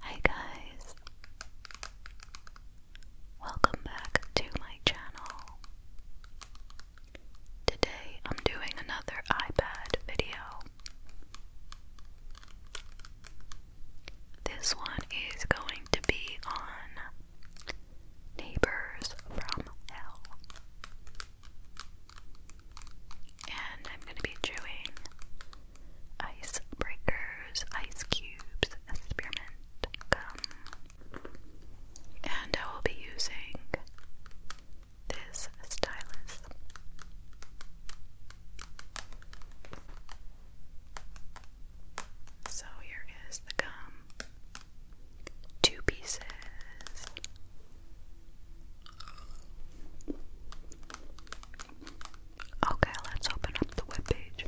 Hi guys! Welcome back to my channel. Today I'm doing another iPad video. This one is going to be on Neighbors from Hell. And I'm going to be doing ice breakers, ice cubes, spearmint gum. And I will be using this stylus. So here is the gum. Two pieces. Okay, let's open up the web page.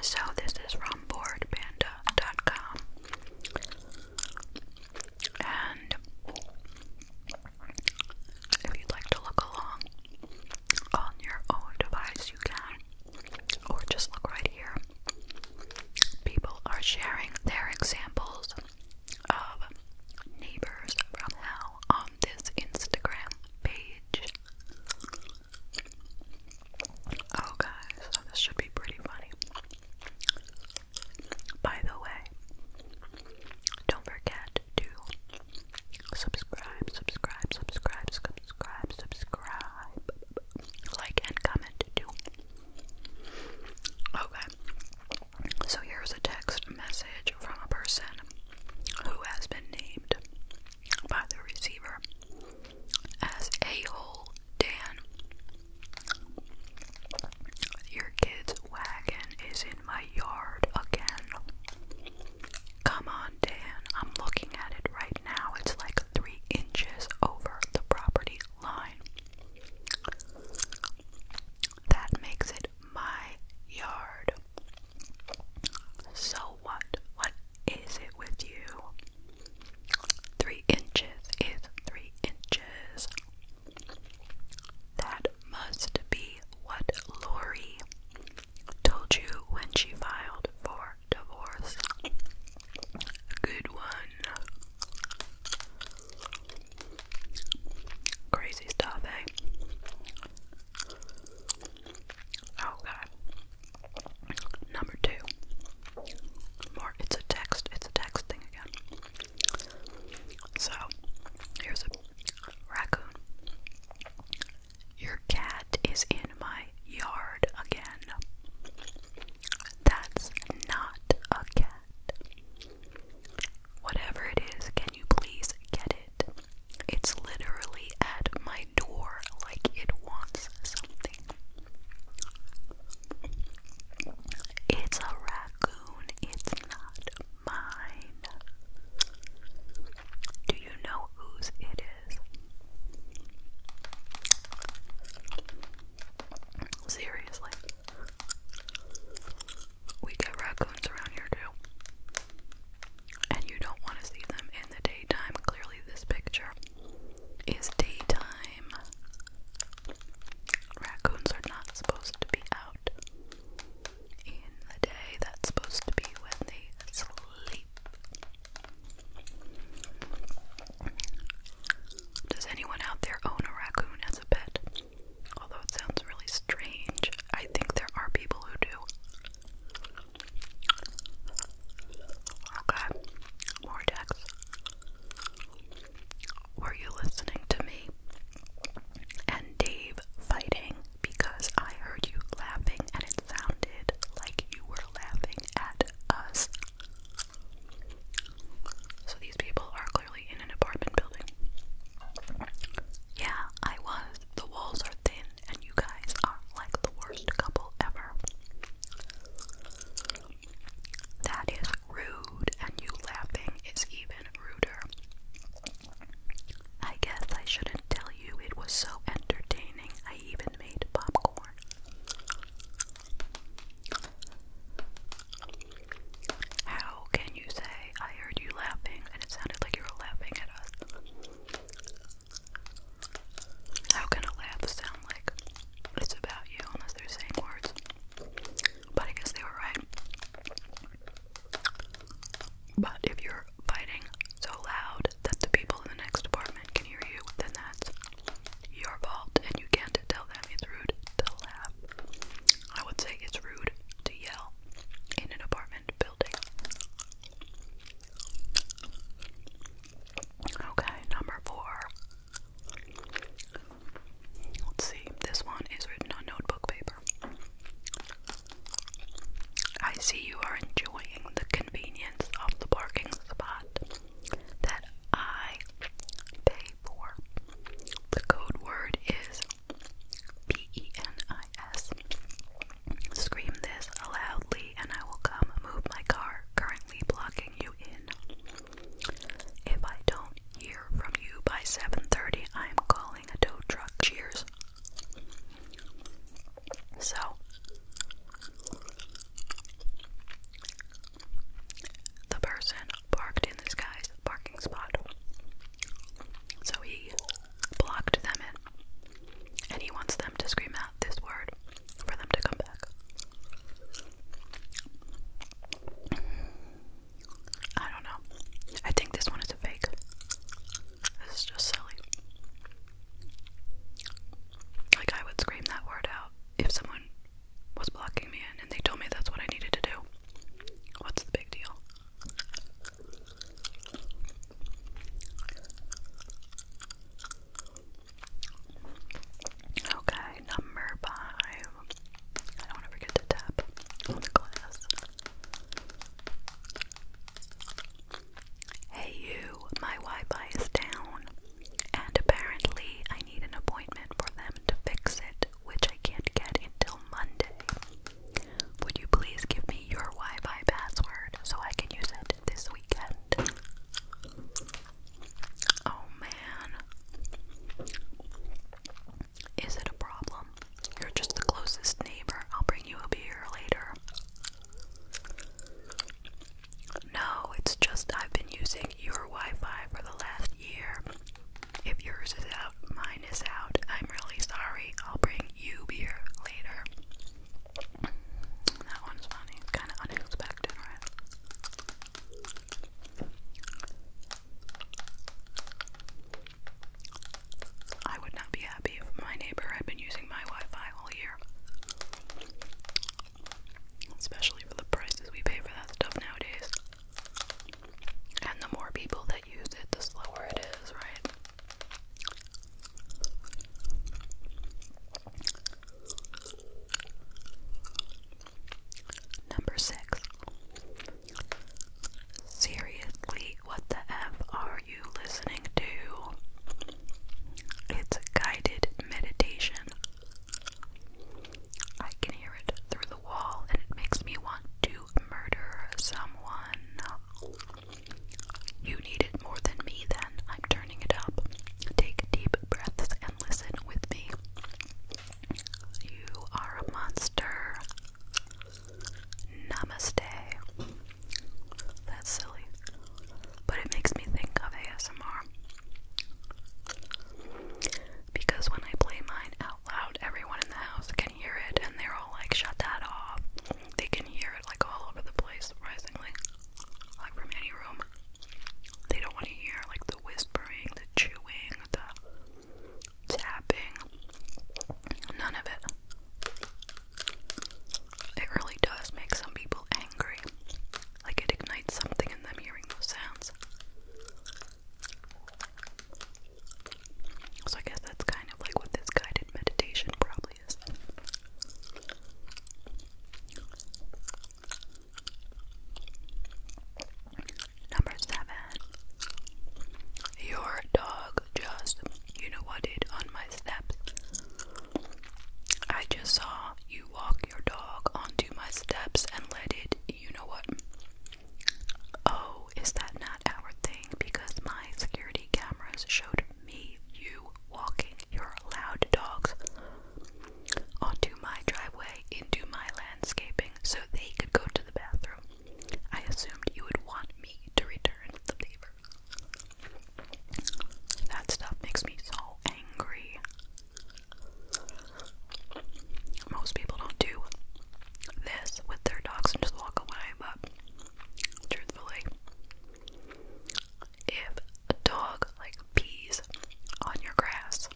So this is from boardpanda.com and if you'd like to look along, on your own device, you can, or just look right here. People are sharing their examples of neighbors from hell on this Instagram page. Oh, guys, this should be pretty funny. By the way, don't forget do subscribe, subscribe, subscribe, subscribe, subscribe, like, and comment too. Okay, so here's a text message from a person who has been named by the receiver as a hole Dan. Your kid's wagon is in my yard again. Come on, Dan. I'm looking at it right now. It's like three inches over the property line. That makes it my yard. So what? What is it with you? Three inches is three inches. That must be what Lori told you when she filed for divorce. Good one. Crazy stuff, eh? Okay. Oh, Number two. More, it's a text, it's a text thing again. So, here's a raccoon. Your cat is in my yard again. That's not a cat. Whatever it is, can you please get it? It's literally at my door like it wants something. It's a raccoon, it's not mine. Do you know whose it is? Seriously. We get raccoons around here too. And you don't want to see them in the daytime. Clearly, this picture is daytime. Raccoons are not supposed to be out in the day. That's supposed to be when they sleep. Does anyone out there own a raccoon as a pet? Although it sounds really strange, I think there are people who do. Okay, more text. Were you listening to me and Dave fighting because I heard you laughing and it sounded like you were laughing at us. So these people are clearly in an apartment building. Yeah, I was. The walls are thin and you guys are like the worst couple ever. That is rude and you laughing is even ruder. I guess I shouldn't tell you it was so entertaining I even made popcorn. How can you say I heard you laughing and it sounded like you were laughing at us? How can a laugh sound like it's about you unless they're saying words? But I guess they were right. But if you're fighting so loud that the people in the next apartment can hear you, then that's your fault and you can't tell them it's rude to laugh. I would say it's rude to yell in an apartment building. Okay, number four. Let's see, this one is written on notebook paper. I see you are enjoying the convenience of the parking spot that I pay for. The code word is B E N I S. Scream this loudly, and I will come move my car currently blocking you in. If I don't hear from you by 7:30, I am calling a tow truck. Cheers, so the person parked in this guy's parking spot. So he blocked them in. And he wants them to scream out this word for them to come back. I don't know. I think this one is a fake. This is just silly. Like, I would scream that word out if someone was blocking me in and they told me that's what I needed to do. What's the big deal? Okay, number five. I don't want to to tap on the glass. Hey you, my Wi-Fi is down, and apparently I need an appointment for them to fix it, which I can't get until Monday. Would you please give me your Wi-Fi password so I can use it this weekend? Oh man. Is it a problem? You're just the closest neighbor. I'll bring you a beer later. No, it's just I've been using your Wi Fi for the last year. If yours is out, mine is out. I'm really sorry. I'll bring you beer later. That one's funny. Kind of unexpected, right? I would not be happy if my neighbor had been using my Wi Fi all year. Especially for the prices we pay for that stuff nowadays. And the more people that use it, the slower it is, right? Number six, Seriously, what the F are you listening to? It's guided meditation. I can hear it through the wall, and it makes me want to murder someone. You need it more than me, then. I'm turning it up. Take deep breaths and listen with me. You are a monster. Namaste. That's silly. But it makes me think of ASMR. Because when I play mine out loud, everyone in the house can hear it and they're all like, shut that off. They can hear it like all over the place, surprisingly. Like from any room. They don't want to hear like the whispering, the chewing, the tapping. None of it. It really does make some people angry. Like it ignites something in them hearing those sounds. So I guess that's kind of like what this guided meditation probably is. Number seven. Your dog just, you know what, did on my steps. I just saw you walk your dog onto my steps and let it, you know what. Oh, is that not our thing? Because my security cameras showed me you walking your loud dogs onto my driveway into my landscaping so they could go to the bathroom. I assumed you would want me to return the favor. That stuff makes me so angry. Most people don't do this with their dogs and just walk away, but truthfully, if a dog like pees on your grass,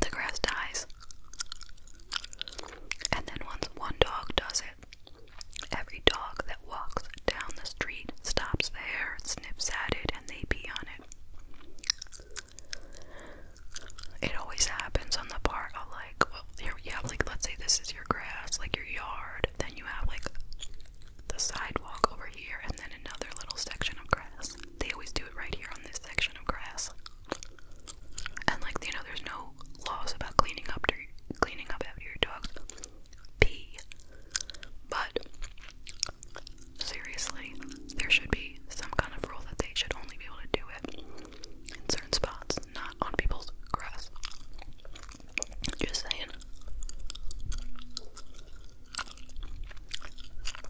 the grass dies dogs. And then once one dog does it, every dog that walks down the street stops there, sniffs at it, and they pee on it. It always happens on the part of like, well, here, yeah, like let's say this is your grass, like your yard, then you have like the sidewalk over here, and then another little section of grass. They always do it right here on this section of grass. And like you know, there's no laws about cleaning up to, cleaning up after your dogs pee. But seriously, there should be some kind of rule that they should only be able to do it in certain spots, not on people's grass. Just saying.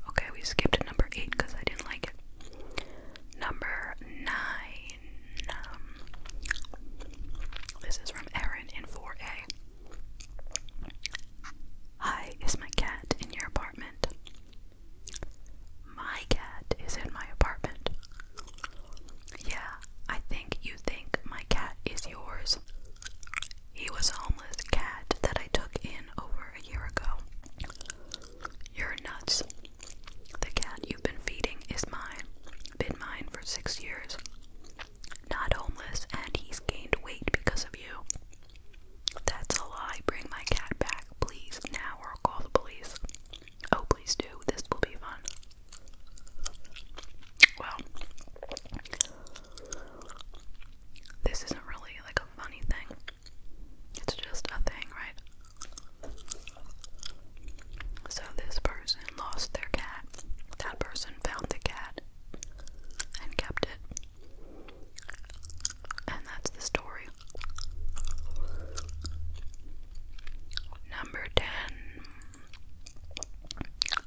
Okay, we skipped to number eight because I didn't like it. Number nine. Um, this is from Erin in 4A. Hi, is my cat in your apartment? My cat is in my apartment. Yeah, I think you think my cat is yours. He was a homeless cat that I took in over a year ago. You're nuts. The cat you've been feeding is mine. Been mine for six years. Not homeless, and he's gained weight because of you. That's a lie. Bring my cat back, please, now, or I'll call the police. Oh, please do. This will be fun. Well, this isn't really like a funny thing. It's just a thing, right? So this person lost their cat. That person found the cat and kept it. And that's the story. Number 10.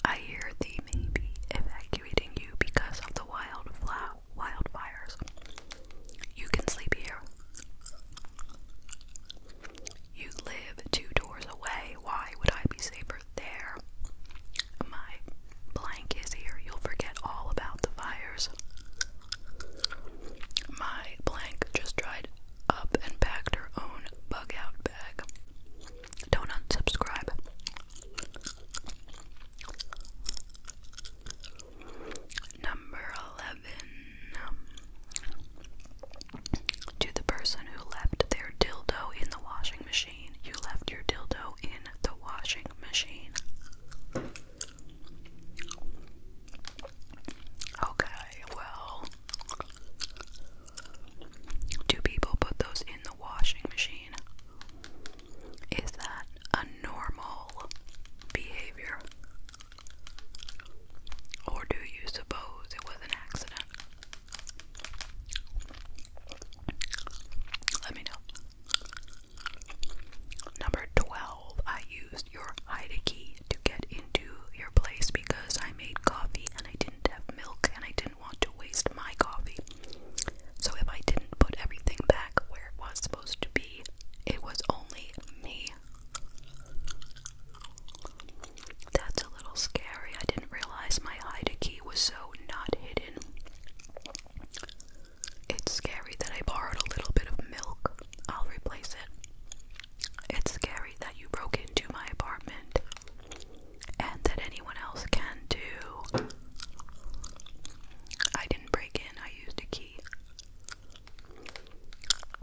I hear thee may be evacuating you because of the wildflowers wildfires. You can sleep here. You live two doors away. Why would I be safer there? My blank is here. You'll forget all about the fires. My blank just dried up and packed her own bug out bag. Don't unsubscribe. Number 11. To the person who left their dildo in the washing machine, you left your dildo in the washing machine. Okay, well, do people put those in the washing machine? Is that a normal behavior? Or do you suppose it was an accident? Let me know. Number 12. I used your Haida key to get into your place because I made coffee and I didn't have milk and I didn't want to waste my coffee. So if I didn't put everything back where it was supposed to be, it was only me. That's a little scary. I didn't realize my hide key was so not hidden. It's scary that I borrowed a little bit of milk. I'll replace it. It's scary that you broke into my apartment and that anyone else can do. I didn't break in, I used a key.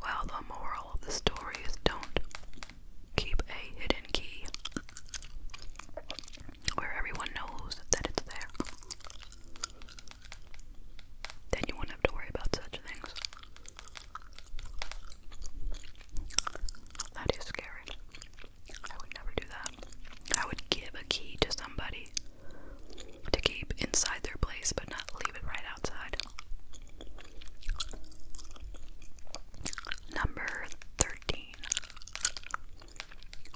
Well, the moral of the story is don't keep a hidden key where everyone knows that it's there. Then you won't have to worry about such things. That is scary. I would never do that. I would give a key to somebody to keep inside their place but not leave it right outside. Number 13.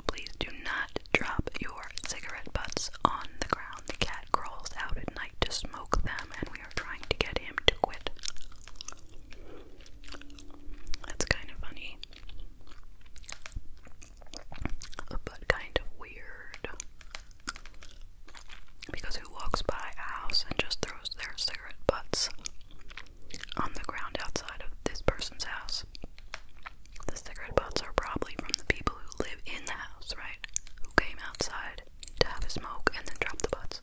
Please do not drop your cigarette butts on the ground. The cat crawls out at night to smoke them, and we are trying to get him to quit. That's kind of funny but kind of weird. Because who walks by a house and just throws their cigarette butts on the ground outside of this person's house? The cigarette butts are probably from the people who live in the house, right? Who came outside to have a smoke and then dropped the butts.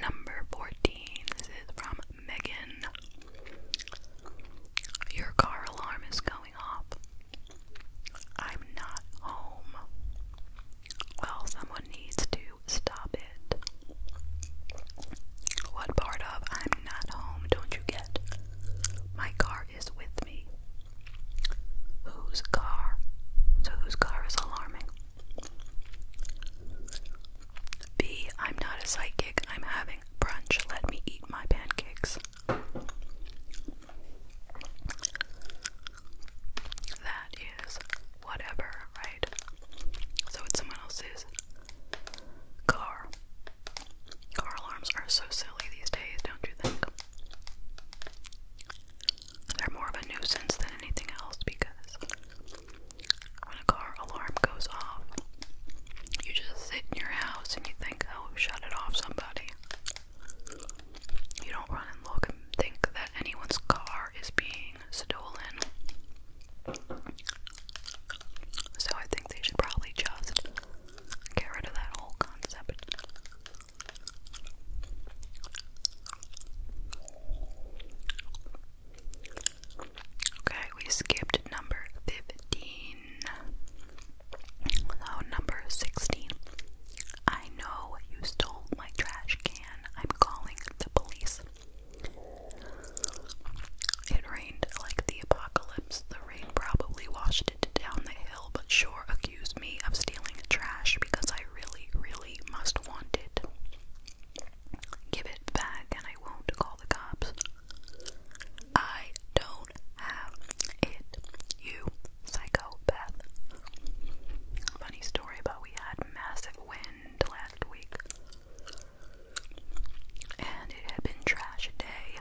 Number 14. This is from Megan. Your car alarm is going off. I'm not home. Well, someone needs to stop it. What part of I'm not home don't you get? My car is with me. Whose car? So whose car is alarming? B. I'm not a psychic. I'm having brunch. Let me eat my pancakes. That is whatever, right? So it's someone else's car. Car alarms are so silly these days, don't you think? They're more of a nuisance than anything else because when a car alarm goes off, you just sit in your house and you think, oh, shut it off, somebody. You don't run and look and think that anyone's car is being stolen. So I think they should probably just get rid of that whole concept. Okay, we skipped number 15. So, number 16. I know you stole my trash can. I'm calling the police. It rained like the apocalypse. The rain probably washed it down the hill, but sure, accuse me of stealing trash because I really, really must want it. Give it back and I won't call the cops. I don't have it, you psychopath. Funny story, but we had massive wind last week. And it had been trash day.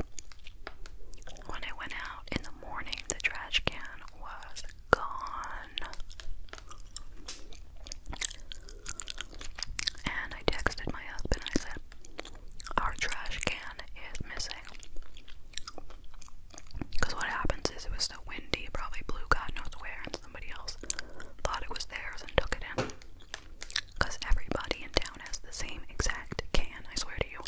When I went out in the morning, the trash can was gone. And I texted my husband I said, Our trash can is missing. Because what happens is it was so windy, probably blew God knows where, and somebody else thought it was theirs and took it in. Because everybody in town has the same exact can, I swear to you.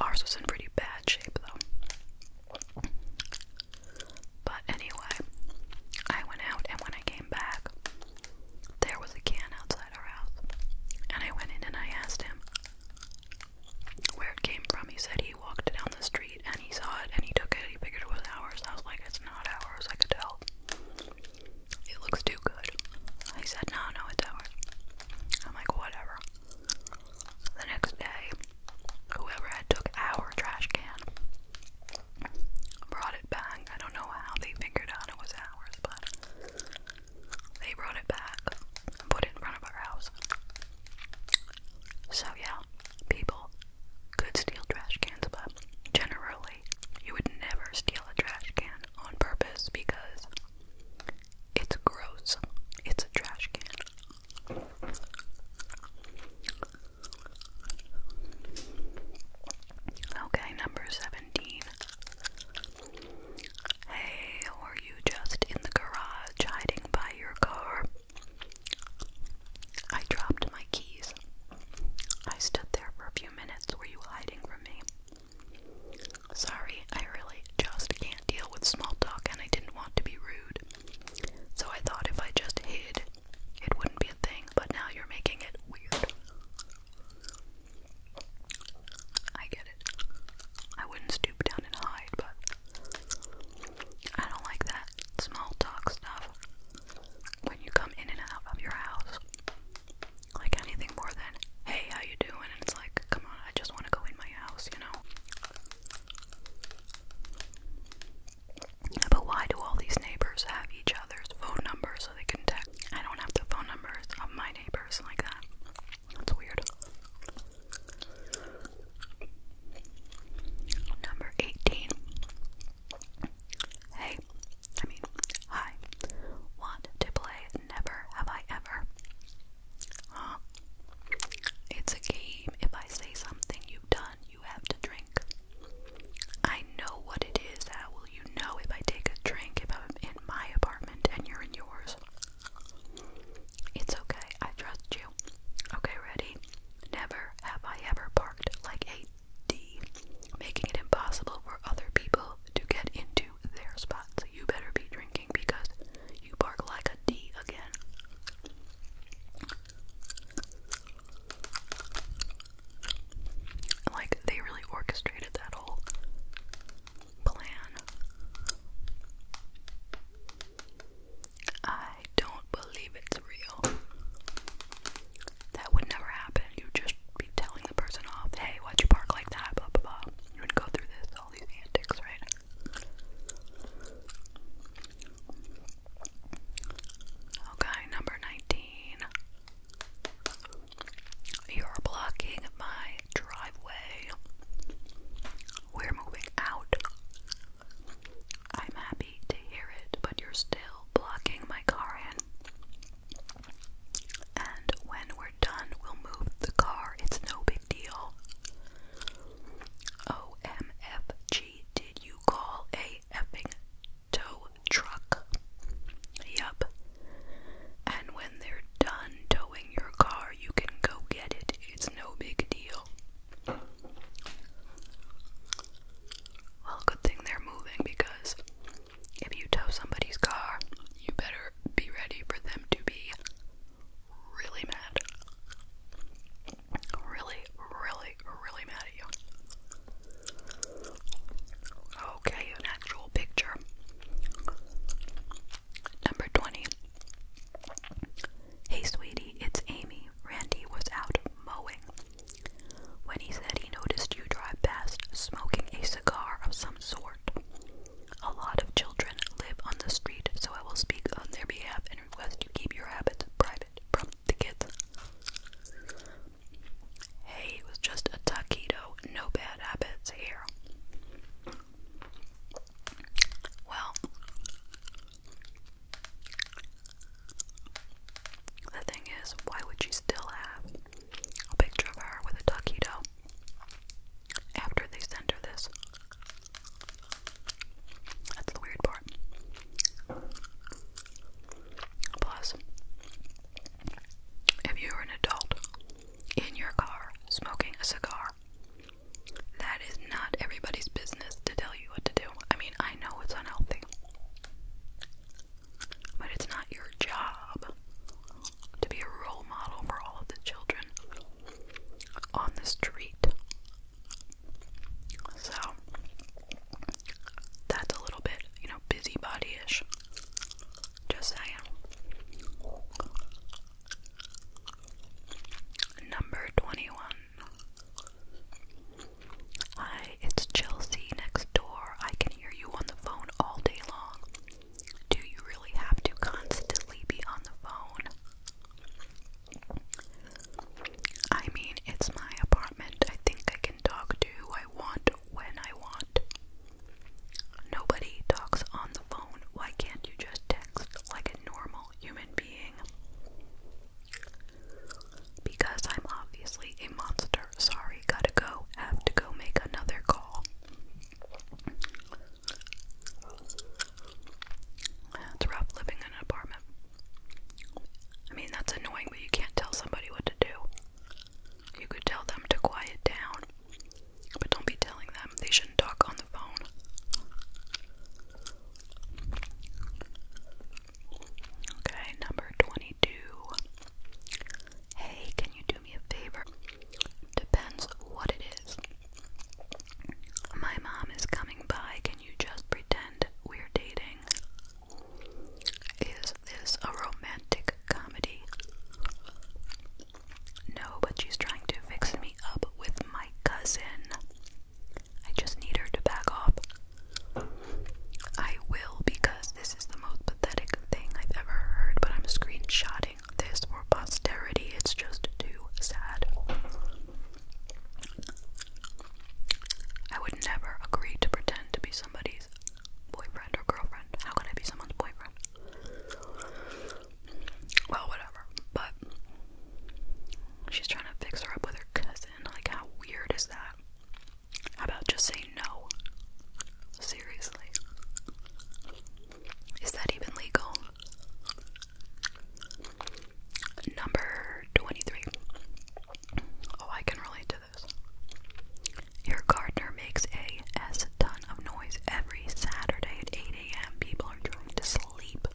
Ours was in pretty bad shape though. But anyway, I went out and when I came back, there was a can outside our house. And I went in and I asked him where it came from. He said he walked down the street and he saw it and he took it. He figured it was ours. I was like, it's not ours. I could tell. It looks too good. He said, No, no, it's ours. I'm like, Whatever. The next day, whoever had took our trash can brought it back. I don't know how they figured out it was ours, but they brought it back and put it in front of our house. So, yeah, people could steal trash cans, but generally you would never steal a trash can on purpose because it's gross. It's a trash can. Okay, number 17. Hey, were you just in the garage hiding by your car? I dropped my keys. I stood there for a few minutes. Were you hiding from me? Sorry, I really just can't deal with small talk and I didn't want to be rude. So I thought if I just hid, it wouldn't be a thing, but now you're making it weird. I get it. I wouldn't stoop down and hide, but I don't like that small talk stuff when you come in and out of your house like anything more than hey how you doing and it's like come on I just want to go in my house you know but why do all these neighbors have each other's phone numbers so they can text I don't have the phone numbers of my neighbors like that that's weird number 18 Hey, I mean, hi. Want to play Never Have I Ever? Huh? It's a game. If I say something you've done, you have to drink. I know what it is. How will you know if I take a drink if I'm in my apartment and you're in yours? It's okay. I trust you. Okay, ready? Never have I ever parked like eight. D. Making it impossible for other people to get into their spots. you better be drinking because you bark like a D again. Like, they really orchestrated that whole plan. I don't believe it's real. That would never happen. You'd just be telling the person off, hey, why'd you park like that? Blah blah blah. You would go through this, all these antics, right? Okay, number 19. You're blocking my driveway. We're moving out. I'm happy to hear it, but you're still blocking my car in. And when we're done, we'll move the car. It's no big deal. OMFG, did you call a effing tow truck? Yup. And when they're done towing your car, you can go get it. It's no big deal. Well, good thing they're moving because if you tow somebody's car, you better be ready for them to be really mad. Really, really, really mad at you. Okay, an actual picture. Number 20. Hey, sweetie, it's Amy. Randy was out mowing when he said he noticed you drive past smoking a cigar of some sort. A lot of children live on the street, so I will speak on their behalf and request you keep your habits private from the kids. Hey, it was just a taquito, no bad habits here. Well, the thing is, why would you still have a picture of her with a tuxedo after they sent her this? That's the weird part. Plus, if you're an adult in your car smoking a cigar, that is not everybody's business to tell you what to do. I mean, I know it's unhealthy. But it's not your job to be a role model for all of the children on the street. So that's a little bit, you know, busybody ish. Just saying. Number 21. Hi, it's Chelsea next door. I can hear you on the phone all day long. Do you really have to constantly be on the phone? I mean, it's my apartment. I think I can talk to who I want when I want. Nobody talks on the phone. Why can't you just text like a normal human being? Because I'm obviously a monster. Sorry, gotta go. Have to go make another call. It's rough living in an apartment. I mean, that's annoying, but you can't tell somebody what to do. You could tell them to quiet down, but don't be telling them. They shouldn't talk on the phone. Okay, number 29. Hey, can you do me a favor? Depends what it is. My mom is coming by. Can you just pretend we're dating? Is this a romantic comedy? No, but she's trying to fix me up with my cousin. I just need her to back off. I will because this is the most pathetic thing I've ever heard, but I'm screenshotting this for posterity. It's just too sad. I would never agree to pretend to be somebody's boyfriend or girlfriend. How could I be someone's boyfriend? Well, whatever. But she's trying to fix her up with her cousin. Like, how weird is that? How about just say no? Seriously. Is that even legal? Number 23. Oh, I can relate to this. Your gardener makes a S ton of noise every Saturday at 8 a.m. People are trying to sleep.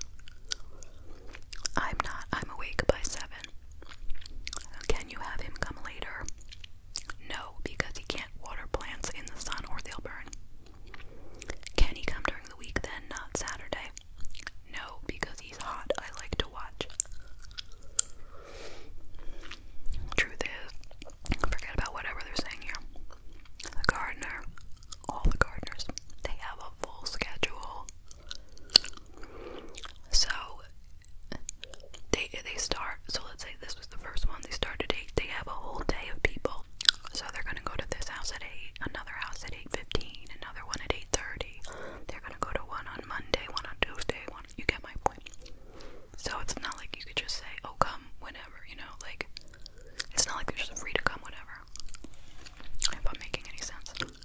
I'm not. I'm awake by 7. Can you have him come later? No, because he can't water plants in the sun or they'll burn. Can he come during the week then, not Saturday? No, because he's hot. I like to watch. Truth is, forget about whatever they're saying here. The gardener, all the gardeners, they have a full schedule. So they they start. So let's say this was the first one. They start at eight. They have a whole day of people. So they're gonna go to this house at eight, another house at eight fifteen, another one at eight thirty. They're gonna go to one on Monday, one on Tuesday, one. You get my point. So it's not like you could just say, "Oh, come whenever," you know. Like it's not like they're just free to come whenever. If i making any sense.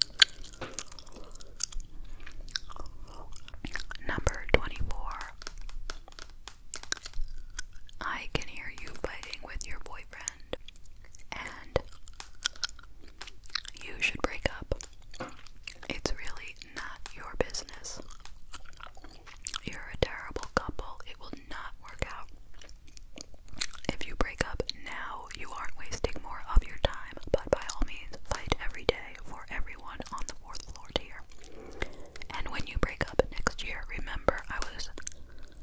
Number 24. I can hear you fighting with your boyfriend, and you should break up. It's really not your business. You're a terrible couple. It will not work out. If you break up now, you aren't wasting more of your time, but by all means, fight every day for everyone on the fourth floor tier. And when you break up next year, remember I was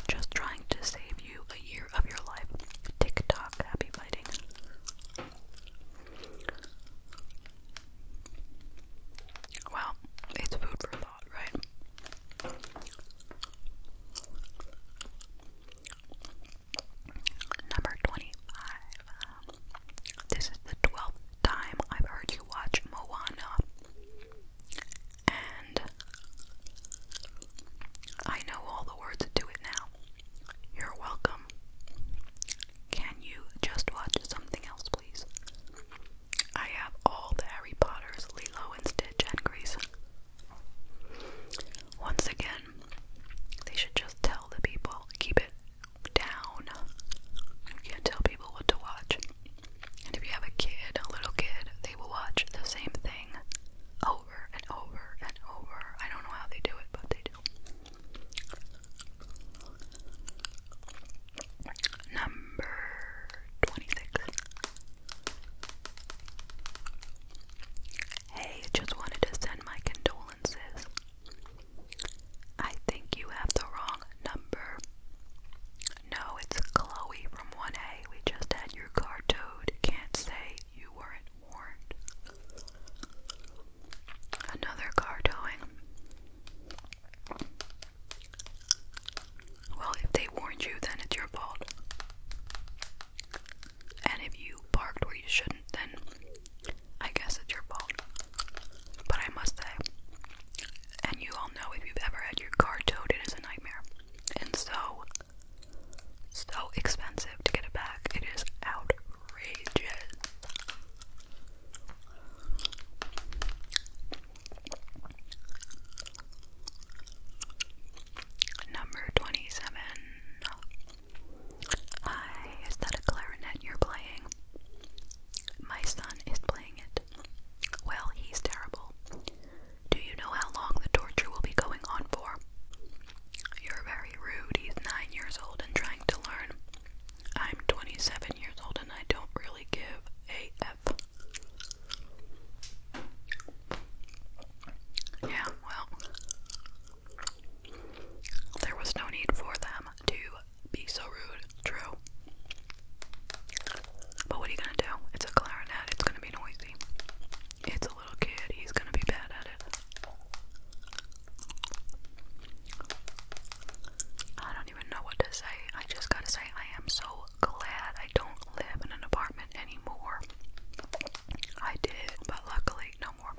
just trying to save you a year of your life. Tick tock, happy fighting. Well, it's food for thought, right? Number 25. this is the 12th time I've heard you watch Moana. And I know all the words to it now. You're welcome. Can you just watch something else, please? I have all the Harry Potters, Lilo and Stitch, and Grease. Once again, they should just tell the people, keep it down. You can't tell people what to watch. And if you have a kid, a little kid, they will watch the same thing over and over and over. I don't know how they do it, but they do. Number 26. Hey, just wanted to send my condolences. I think you have the wrong number. No, it's Chloe from 1A. We just had your car towed. Can't say you weren't warned. Another car towing. Well, if they warned you, then it's your fault. And if you parked where you shouldn't, then I guess it's your fault. But I must say, and you all know if you've ever had your car towed, it is a nightmare. And so, so expensive to get it back. It is outrageous. Number 27 I, is that a clarinet you're playing? My son is playing it. Well, he's terrible. Do you know how long the torture will be going on for? You're very rude. He's nine years old and trying to learn. I'm 27 years old and I don't really give a F. Yeah, well, there was no need for them to be so rude, true. But what are you gonna do? It's a clarinet, it's gonna be noisy. It's a little kid, he's gonna be bad at it. I don't even know what to say. I just gotta say, I am so glad I don't live in an apartment anymore. I did, but luckily, no more.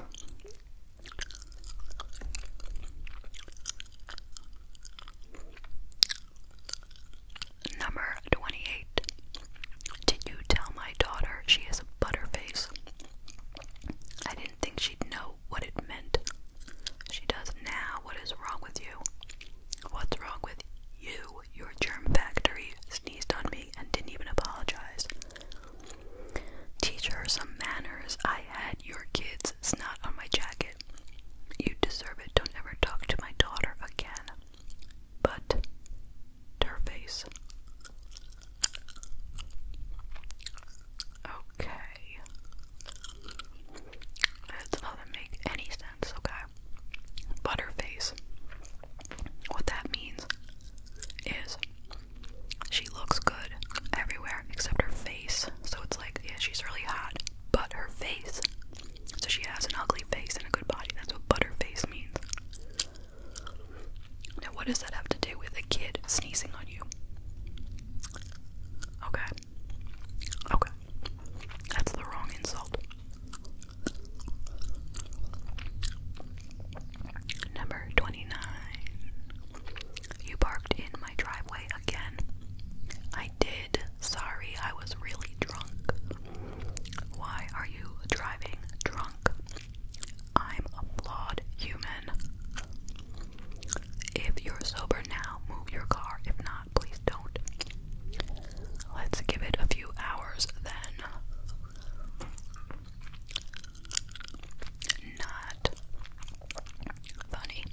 Number 28. Did you tell my daughter she is a butterface? I didn't think she'd know what it meant. She does now. What is wrong with you? What's wrong with you? your germ factory sneezed on me and didn't even apologize. Teach her some manners. I had your kids' snot on my jacket. You deserve it. Don't ever talk to my daughter again. But, her face. Okay. That doesn't make any sense, okay? butterface. What that means is she looks good everywhere except her face. So it's like, yeah, she's really hot, but her face. So she has an ugly face and a good body. That's what butterface means. Now, what does that have to do with a kid sneezing on you? Okay. Okay. That's the wrong insult. Number 29. You parked in my driveway again. I did. Sorry, I was really drunk. Why are you driving drunk? I'm a flawed human. If you're sober now, move your car. If not, please don't. Let's give it a few hours then. Not funny.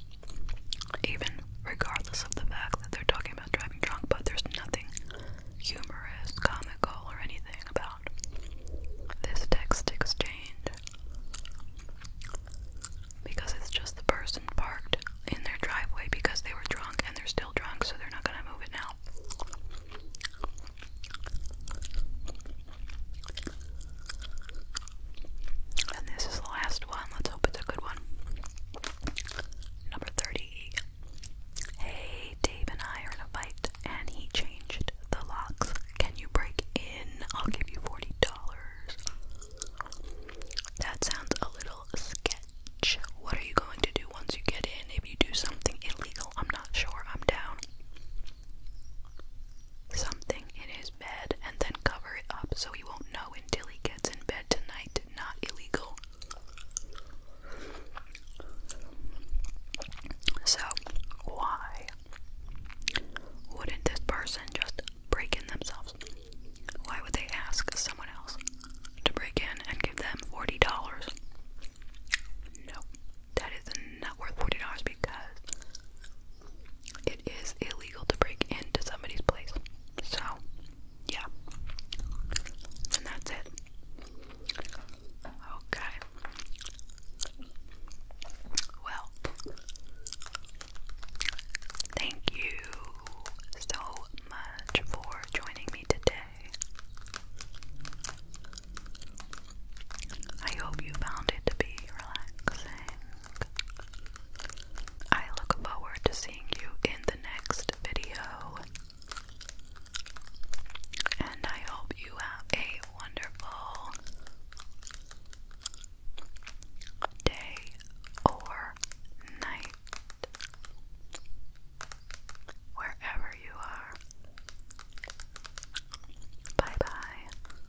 Even regardless of the fact that they're talking about driving drunk, but there's nothing humorous, comical, or anything about this text exchange. Because it's just the person parked in their driveway because they were drunk and they're still drunk, so they're not gonna move it now. And this is the last one. Let's hope it's a good one. Number 30. Hey, Dave and I are in a fight, and he changed the locks. Can you break in? I'll give you $40. That sounds a little sketchy. What are you going to do once you get in? If you do something illegal, I'm not sure. I'm down. Something in his bed and then cover it up so he won't know until he gets in bed tonight. Not illegal. So, why wouldn't this person just break in themselves? Why would they ask someone else to break in and give them $40? No, that is not worth $40 because it is illegal to break into somebody's place. So, yeah. And that's it. Okay. Well, thank you so much for joining me today. I hope you found it to be relaxing. I look forward to seeing you in the next video. And I hope you have a wonderful day or night wherever you are. Bye bye.